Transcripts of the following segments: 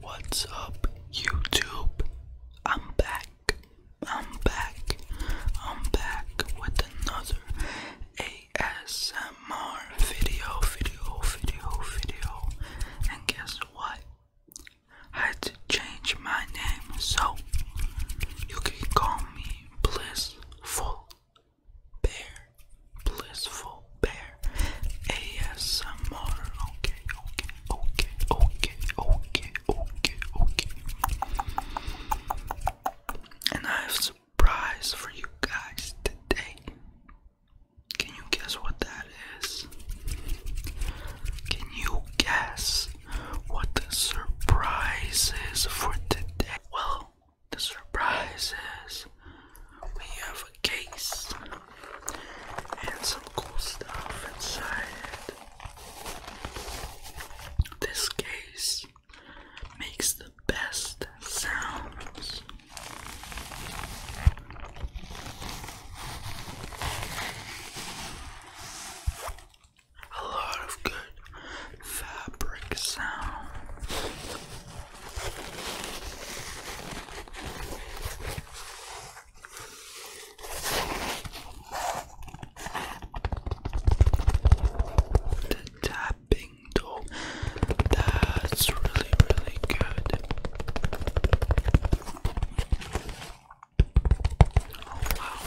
What's up, YouTube? I'm back. I'm back. I'm back with another ASMR video, video, video, video. And guess what? I had to change my name so you can call me Blissful Bear. Blissful. Grateful Bear ASMR. Okay, okay, okay, okay, okay, okay, okay. And I have a surprise for you guys today. Can you guess what that is? Can you guess what the surprise is for today? Well, the surprise is we have a case and some cool stuff inside. This case makes the best sounds. A lot of good fabric sounds. The tapping though, that's really, really good. wow.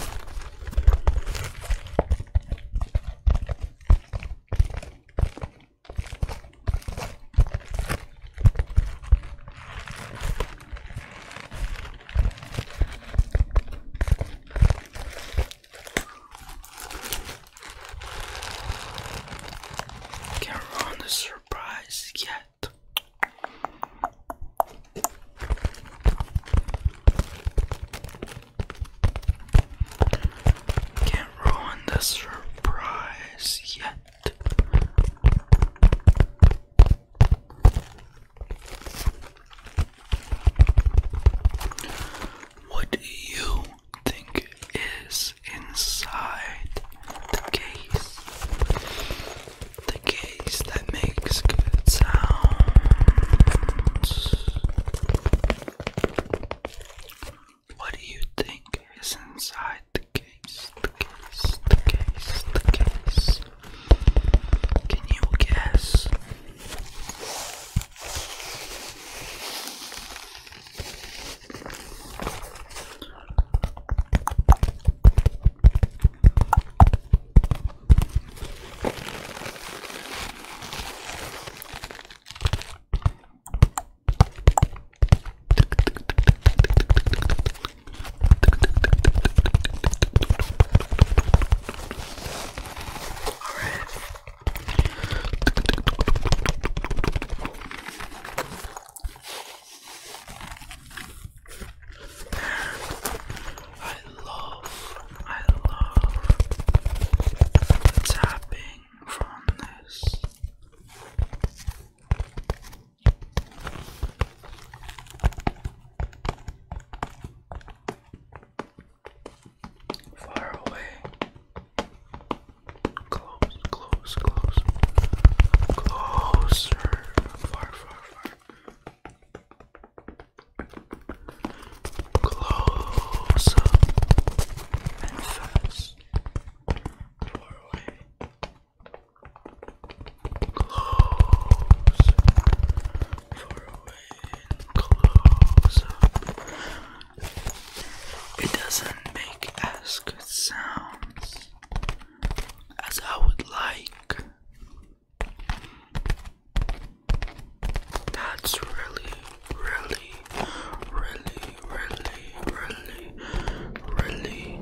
Can run the surprise yet. Can't ruin the surprise yet. What do you think is inside the case? The case that makes good sounds. What do you think is inside the case? The case, the case, the case. Can you guess? I love, I love tapping from this. Far away. Close, close, close. Closer. Far, far, far. Close and fast. Far away. Close for a win. Close. It doesn't make as good sounds as I would like. That's really, really, really, really, really, really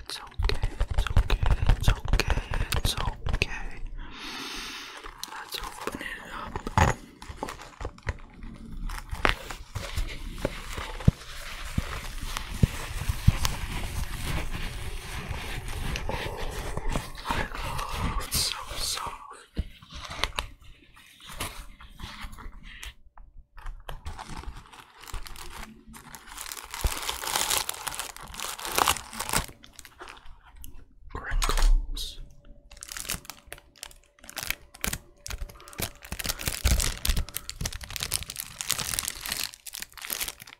it's okay, it's okay, it's okay, it's okay. Let's open it up. Oh, it's so soft. Wrinkles.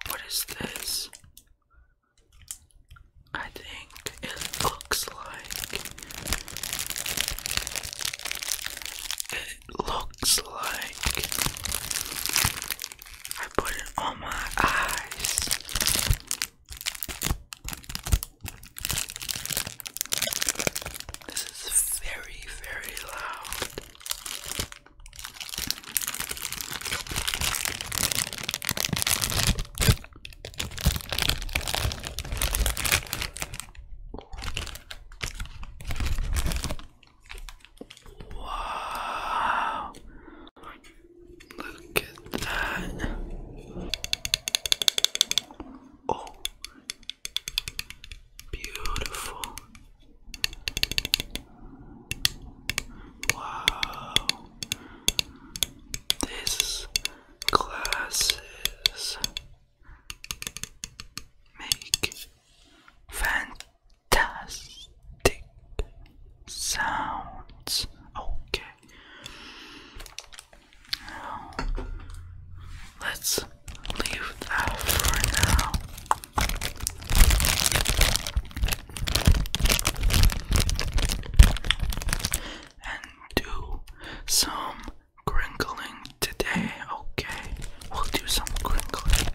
What is this? I think it looks like it looks like I put it on my eyes. This is very, very loud. Wow. Look at that. Oh. Beautiful. Wow. This glasses make fantastic fantastic sounds. Okay. let's leave that for now. And do some crinkling today. Okay, we'll do some crinkling.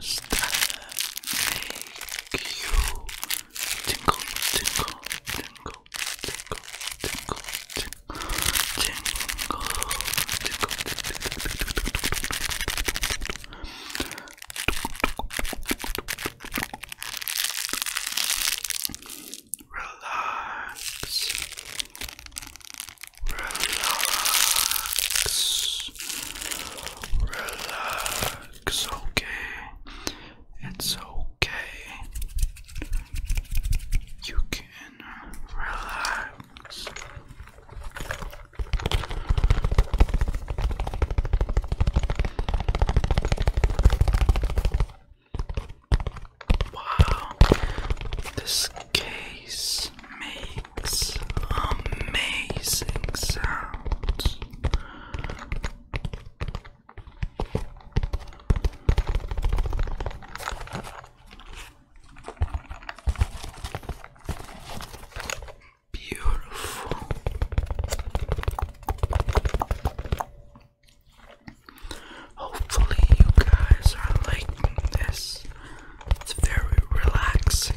Does that make you Tingle, tingle, tingle, tingle, tingle, tingle, tingle, tingle. Relax. Relax. Relax. Okay. It's okay. You can relax. Wow, this case makes amazing sounds. Beautiful. Hopefully, you guys are liking this. It's very relaxing.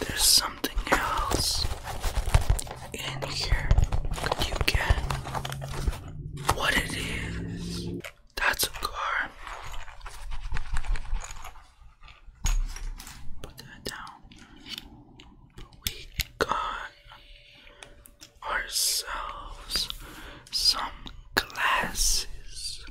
There's something else in here. Could you get what it is? That's a car. Put that down. we got ourselves some glasses.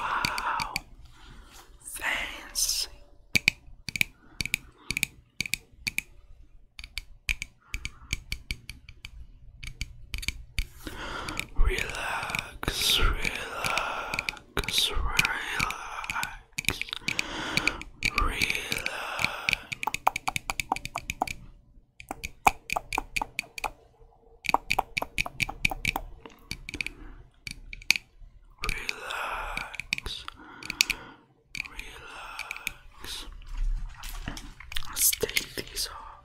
Wow, fancy. Relax, relax. Cause relax, relax. Relax, relax. Let's take these off.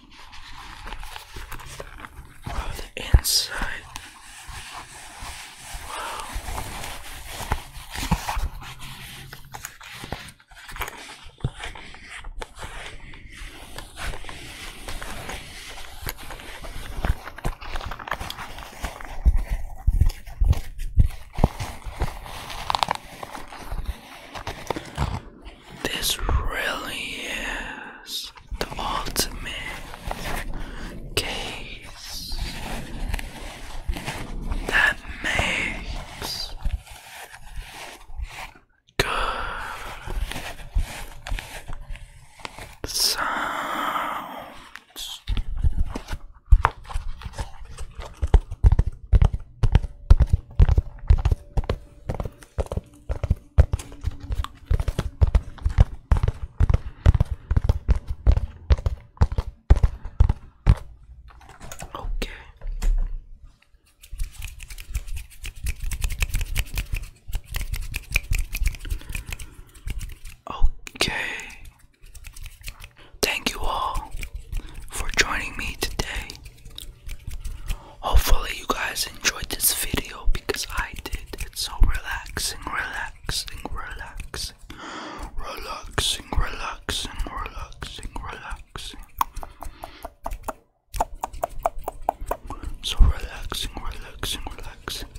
Oh, the inside. Wow. This really is the ultimate case that makes good sounds. Okay. Okay. Thank you all for joining me today. Hopefully, you guys enjoyed this video because I did. It's so relaxing, relaxing, relaxing, relaxing, relaxing, relaxing, relaxing. So relaxing, relaxing, relaxing.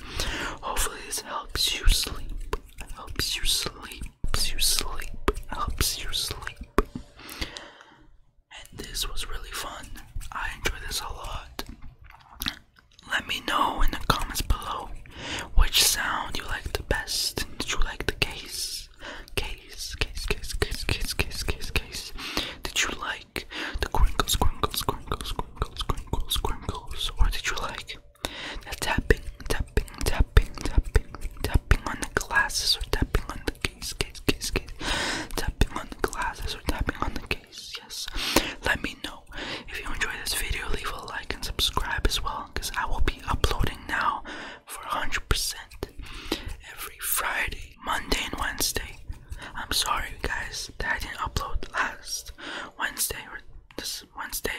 Hopefully, this helps you sleep. Helps you sleep. Helps you sleep. Helps you sleep and this was really fun. I enjoyed this a lot. Let me know in the comments below which sound you like the best. Did you like the case? Case, case, case, case, case, case, case, case. Did you like the crinkles, crinkles, crinkles, crinkles, crinkles, crinkles? Or did you like the tapping, tapping, tapping, tapping, tapping on the glasses or tapping on the case, case? case, on the glasses or tapping on the case, yes. Let me know. If you enjoyed this video, leave a like and subscribe as well, because I will be uploading now for 100% every Friday, Monday, and Wednesday. I'm sorry, guys, that I didn't upload last Wednesday or this Wednesday.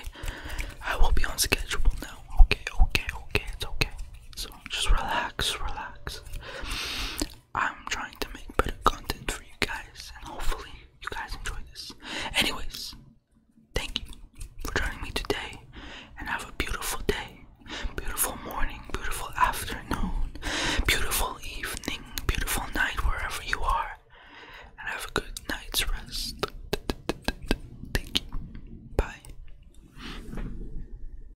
I will be on schedule now. Okay, okay, okay, it's okay. So just relax, relax. I'm trying to make better content for you guys, and hopefully, you guys enjoy this. Anyways, thank you for joining me today, and have a beautiful day, beautiful morning, beautiful afternoon, beautiful evening, beautiful night, wherever you are, and have a good night's rest. Thank you. Bye.